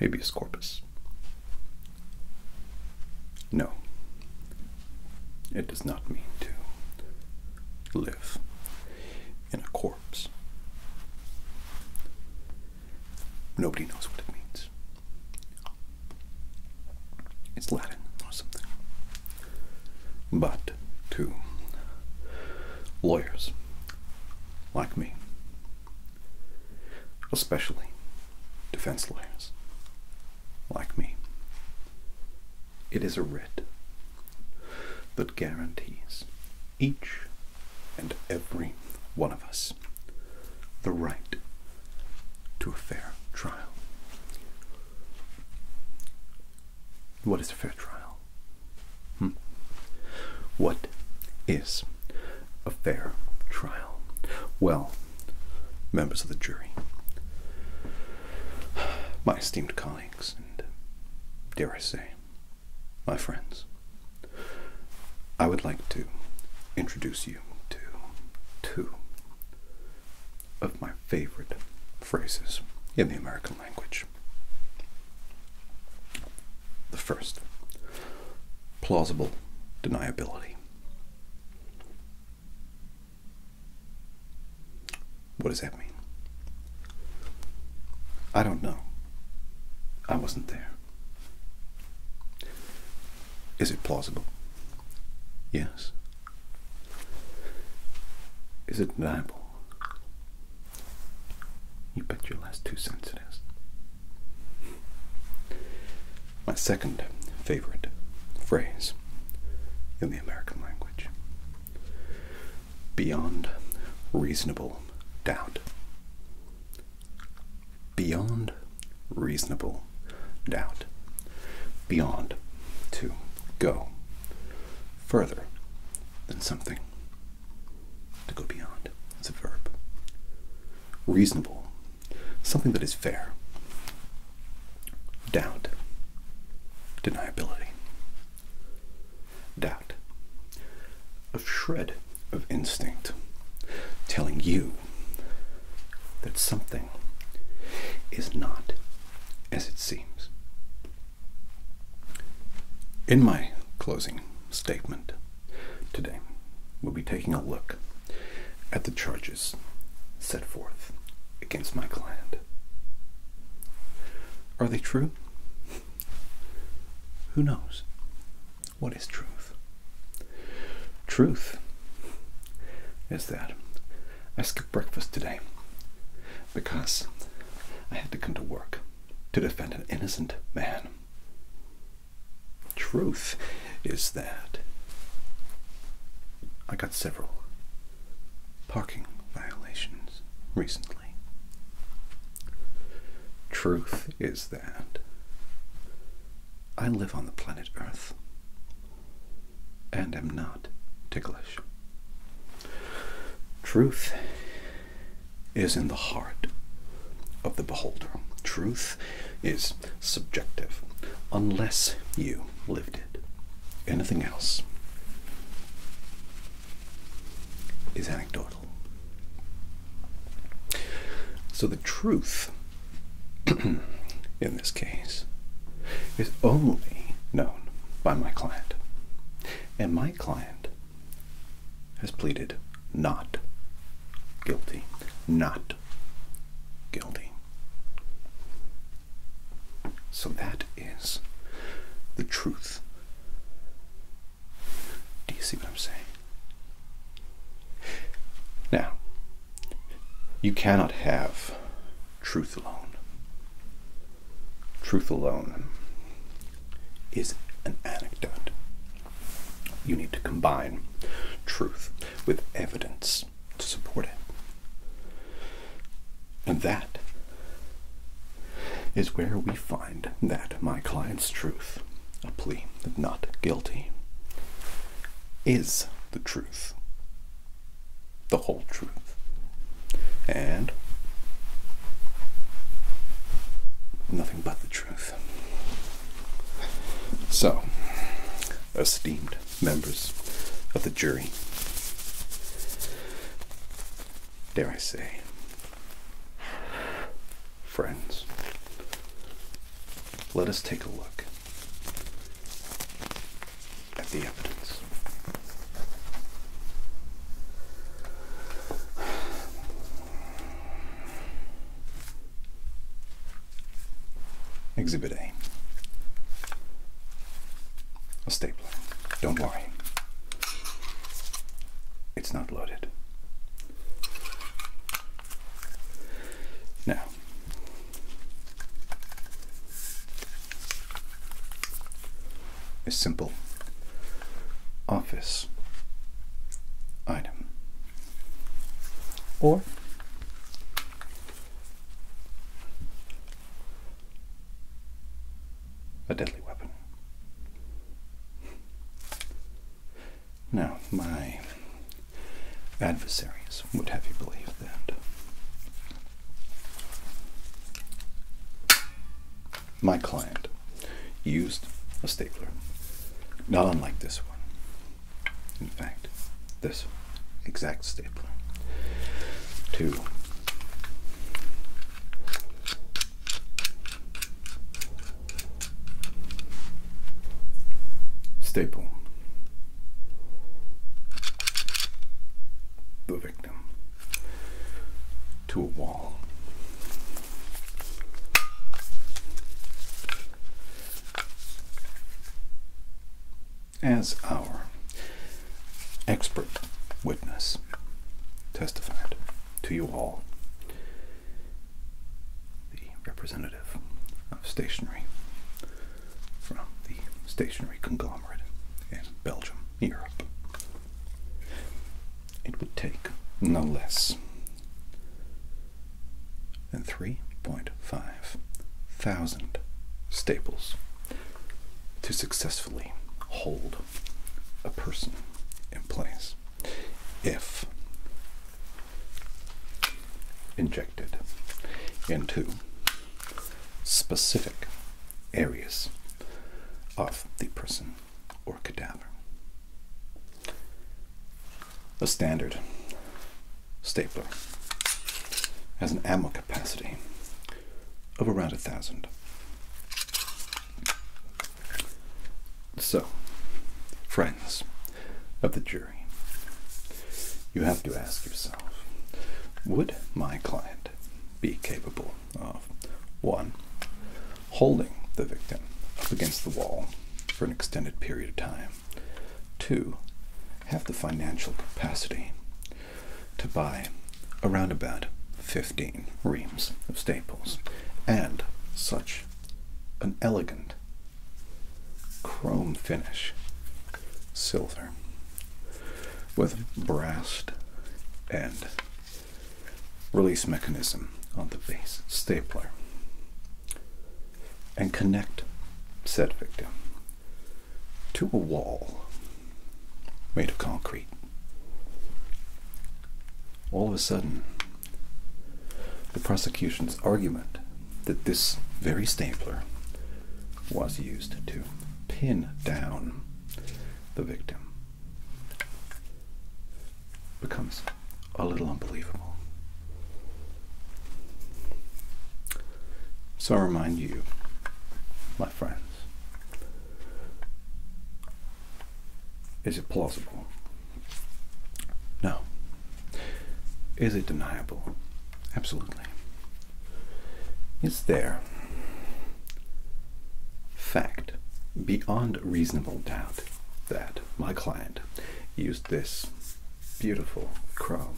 Habeas corpus. No, it does not mean to live in a corpse. Nobody knows what it means. It's Latin or something. But to lawyers like me, especially defense lawyers like me, it is a writ that guarantees each and every one of us the right to a fair trial. What is a fair trial? Hmm? What is a fair trial? Well, members of the jury, my esteemed colleagues, colleagues, and dare I say, my friends, I would like to introduce you to two of my favorite phrases in the American language. The first, plausible deniability. What does that mean? I don't know. I wasn't there. Is it plausible? Yes. Is it deniable? You bet your last two cents it is. My second favorite phrase in the American language beyond reasonable doubt. Beyond reasonable doubt. Beyond to go further than something. To go beyond is a verb. Reasonable, something that is fair. Doubt, deniability. Doubt, a shred of instinct telling you that something is not as it seems. In my closing statement today, we'll be taking a look at the charges set forth against my client. Are they true? Who knows? What is truth? Truth is that I skipped breakfast today because I had to come to work to defend an innocent man. Truth is that I got several parking violations recently. Truth is that I live on the planet Earth and am not ticklish. Truth is in the heart of the beholder. Truth is subjective unless you lived it. Anything else is anecdotal. So the truth in this case is only known by my client. And my client has pleaded not guilty. Not guilty. So that is the truth do you see what I'm saying? Now, you cannot have truth alone. Truth alone is an anecdote. You need to combine truth with evidence to support it. And that is where we find that my client's truth, a plea of not guilty, is the truth, the whole truth. And nothing but the truth. So, esteemed members of the jury, dare I say, friends. Let us take a look at the evidence. Exhibit A a stapler. Don't worry, it's not loaded. Now, a simple office item or a deadly weapon. Now, my adversaries would have you believe that my client used a stapler, not unlike this one. In fact, this exact stapler Two. Staple. The victim to a wall. As our expert witness testified to you all, the representative of stationery from the stationery conglomerate in Belgium, Europe. It would take no less than 3.5 thousand staples to successfully hold a person in place if injected into specific areas of the person or cadaver. A standard stapler has an ammo capacity of around a thousand. So, friends of the jury, you have to ask yourself would my client be capable of one, holding the victim up against the wall for an extended period of time, two, have the financial capacity to buy around about 50 reams of staples and such an elegant chrome finish silver with brassed and release mechanism on the base stapler and connect said Victor, to a wall made of concrete all of a sudden, the prosecution's argument that this very stapler was used to pin down the victim becomes a little unbelievable. So I remind you, my friends, is it plausible? No. Is it deniable? Absolutely. Is there fact beyond reasonable doubt that my client used this beautiful chrome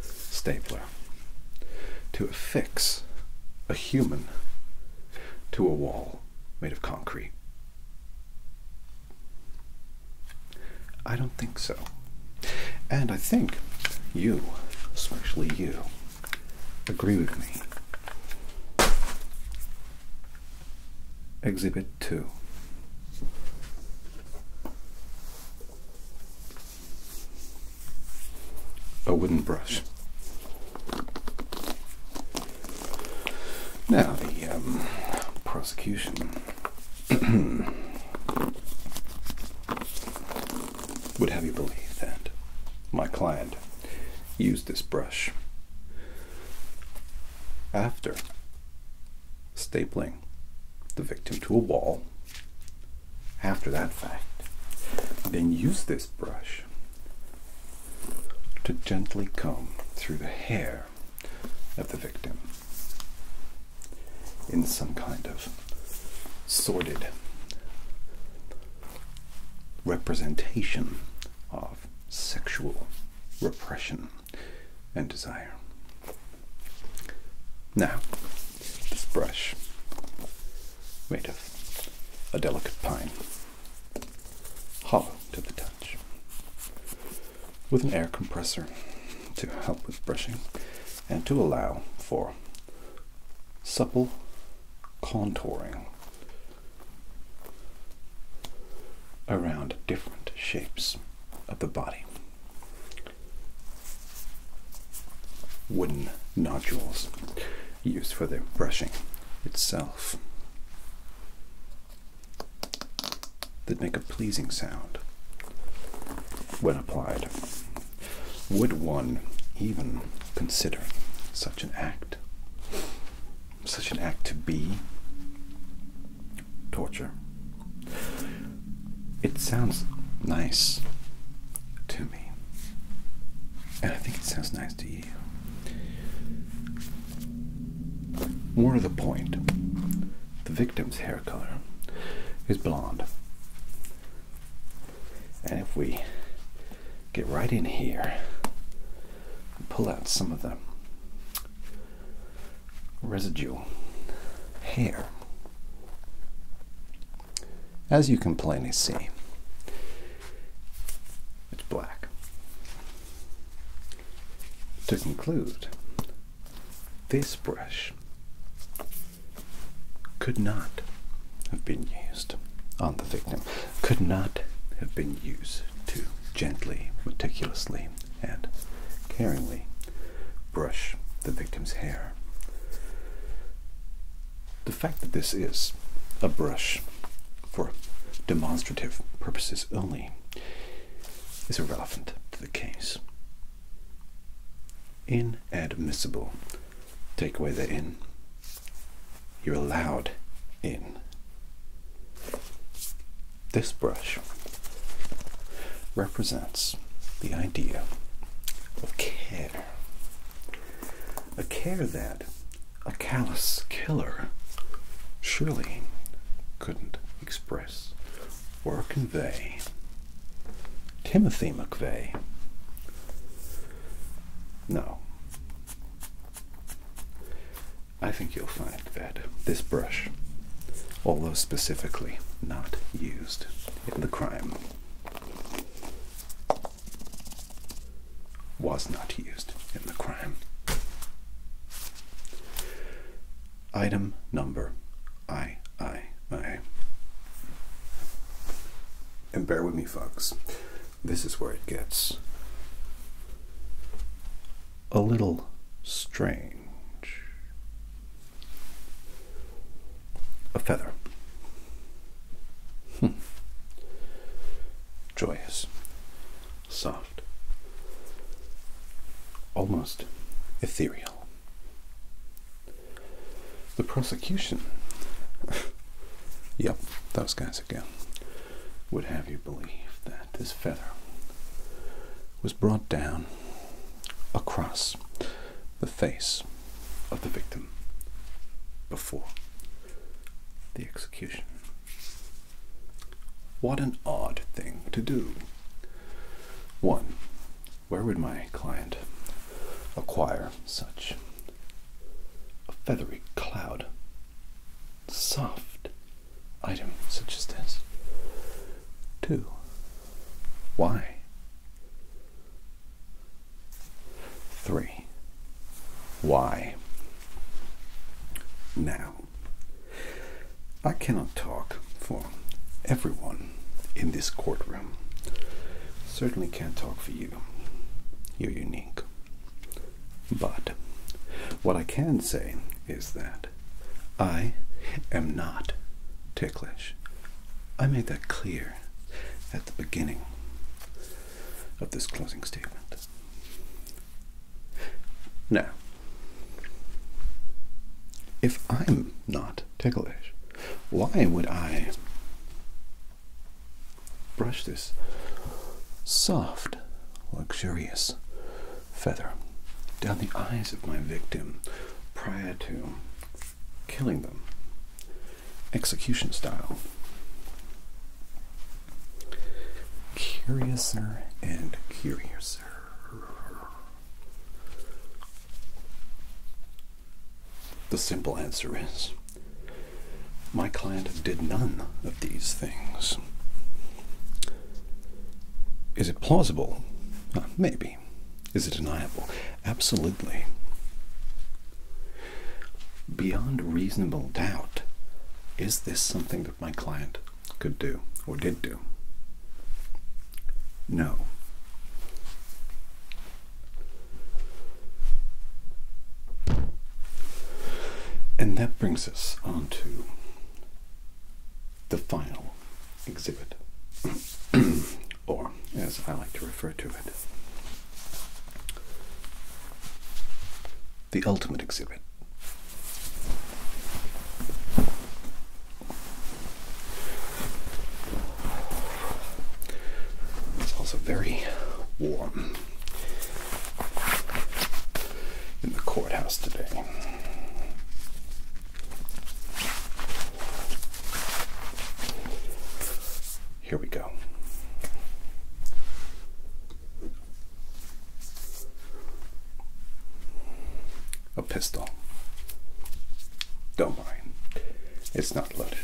stapler to affix a human to a wall made of concrete? I don't think so. And I think you, especially you, agree with me. Exhibit 2. A wooden brush. Now, the um, prosecution would have you believe that my client used this brush after stapling the victim to a wall after that fact, then used this brush to gently comb through the hair of the victim in some kind of sordid representation of sexual repression and desire. Now, this brush made of a delicate pine hollow to the touch, with an air compressor to help with brushing and to allow for supple contouring around different shapes of the body. Wooden nodules used for the brushing itself that make a pleasing sound when applied. Would one even consider such an act, such an act to be torture? It sounds nice to me, and I think it sounds nice to you. More to the point, the victim's hair color is blonde. And if we get right in here and pull out some of the residual hair, as you can plainly see, it's black. To conclude, this brush could not have been used on the victim, could not have been used to gently, meticulously, and caringly brush the victim's hair. The fact that this is a brush for demonstrative purposes only, is irrelevant to the case. Inadmissible. Take away the in. You're allowed in. This brush represents the idea of care. A care that a callous killer surely couldn't express or convey Timothy McVeigh. No. I think you'll find that this brush, although specifically not used in the crime, was not used in the crime. Item number I, I, I. And bear with me, folks. This is where it gets a little strange. A feather. Hmm. Joyous soft, almost ethereal. The prosecution, yep, those guys again, would have you believe that this feather was brought down across the face of the victim before the execution. What an odd thing to do. One, where would my client acquire such a feathery cloud, soft item such as this? Two, why? Three, why. Now, I cannot talk for everyone in this courtroom. Certainly can't talk for you. You're unique. But what I can say is that I am not ticklish. I made that clear at the beginning of this closing statement. Now, if I'm not ticklish, why would I brush this soft, luxurious feather down the eyes of my victim prior to killing them? Execution style. Curiouser and curiouser. The simple answer is my client did none of these things. Is it plausible? Uh, maybe. Is it deniable? Absolutely. Beyond reasonable doubt, is this something the my client could do or did do. No. And that brings us on to the final exhibit, or as I like to refer to it, the ultimate exhibit. It's also very warm in the courthouse today. Here we go. A pistol. Don't mind. It's not loaded.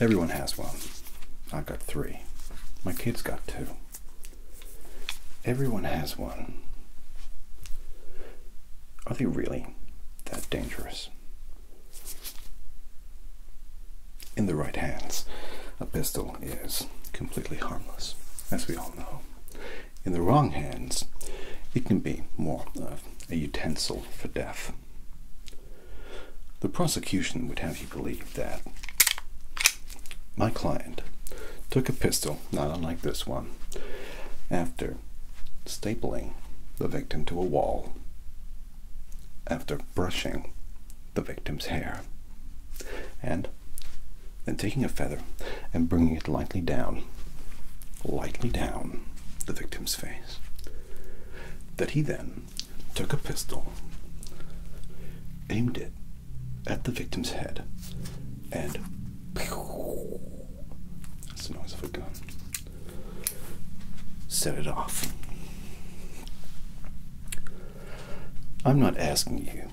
Everyone has one. I've got three. My kids got two. Everyone has one. Are they really that dangerous? In the right hands, a pistol is completely harmless, as we all know. In the wrong hands, it can be more of a utensil for death. The prosecution would have you believe that my client took a pistol, not unlike this one, after stapling the victim to a wall after brushing the victim's hair and then taking a feather and bringing it lightly down, lightly down the victim's face. That he then took a pistol, aimed it at the victim's head, and that's the noise of a gun set it off. I'm not asking you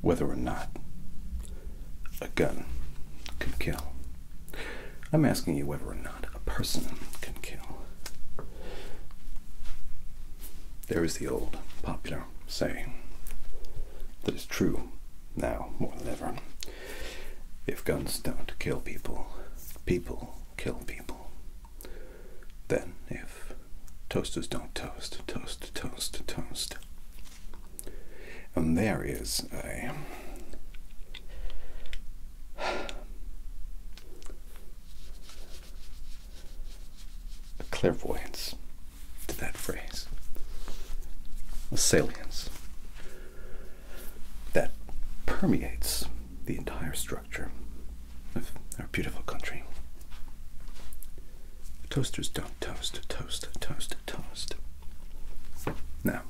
whether or not a gun can kill. I'm asking you whether or not a person can kill. There is the old popular saying that is true now more than ever if guns don't kill people, people kill people. Then, if toasters don't toast, toast, toast, toast. And there is a. a clairvoyance to that phrase, a salience, that permeates the entire structure of our beautiful country. Toasters don't toast, toast, toast, toast. Now,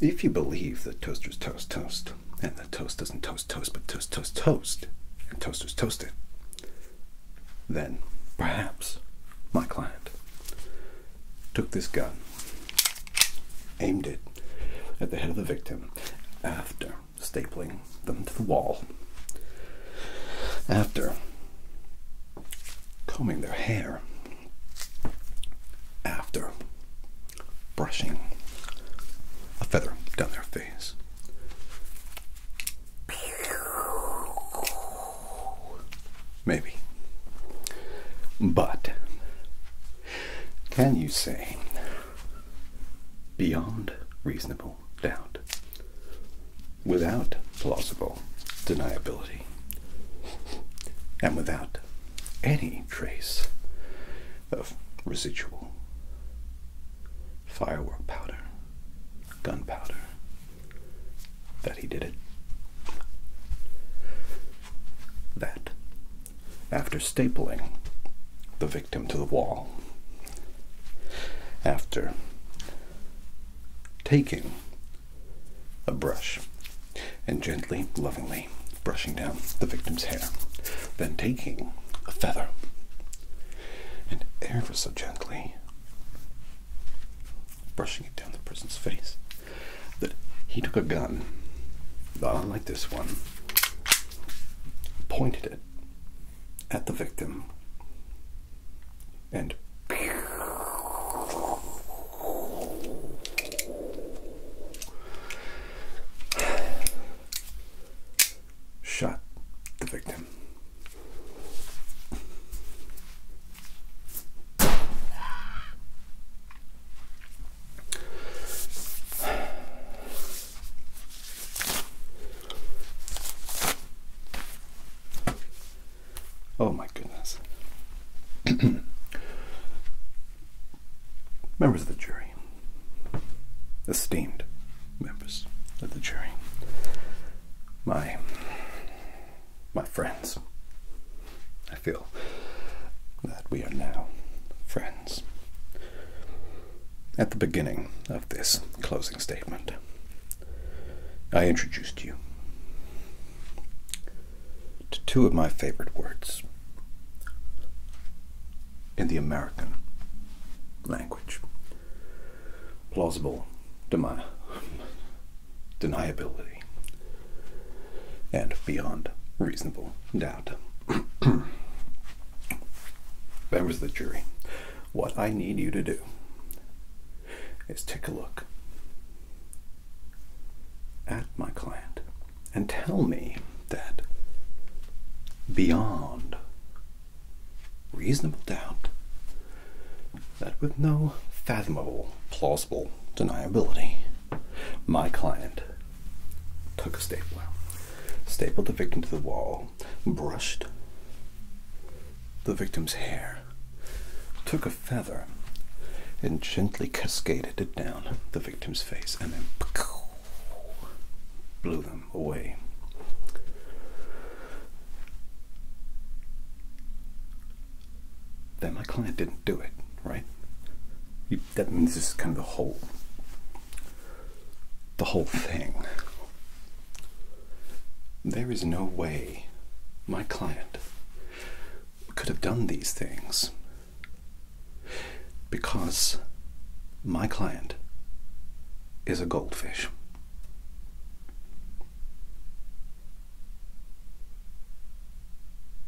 if you believe that toasters toast, toast, and that toast doesn't toast, toast, but toast, toast, toast, and toasters toast it, then perhaps my client took this gun, aimed it at the head of the victim after stapling them to the wall, after combing their hair, after brushing a feather down their face. Maybe. But can you say beyond reasonable doubt without plausible deniability and without any trace of residual firework powder, gunpowder, that he did it? that after stapling the victim to the wall, after taking a brush and gently, lovingly brushing down the victim's hair, then taking a feather and ever so gently brushing it down the prisoner's face, that he took a gun, not unlike this one, pointed it at the victim, and shot the victim. Oh my goodness. members of the jury, esteemed members of the jury, my my friends, I feel that we are now friends. At the beginning of this closing statement, I introduced you to two of my favorite words in the American language plausible deni- deniability and beyond reasonable doubt. Members of the jury, what I need you to do is take a look at my client and tell me that beyond reasonable doubt, that with no fathomable plausible deniability, my client took a stapler, stapled the victim to the wall, brushed the victim's hair, took a feather, and gently cascaded it down the victim's face, and then blew them away. Then my client didn't do it right? that means this is kind of the whole, the whole thing. There is no way my client could have done these things because my client is a goldfish.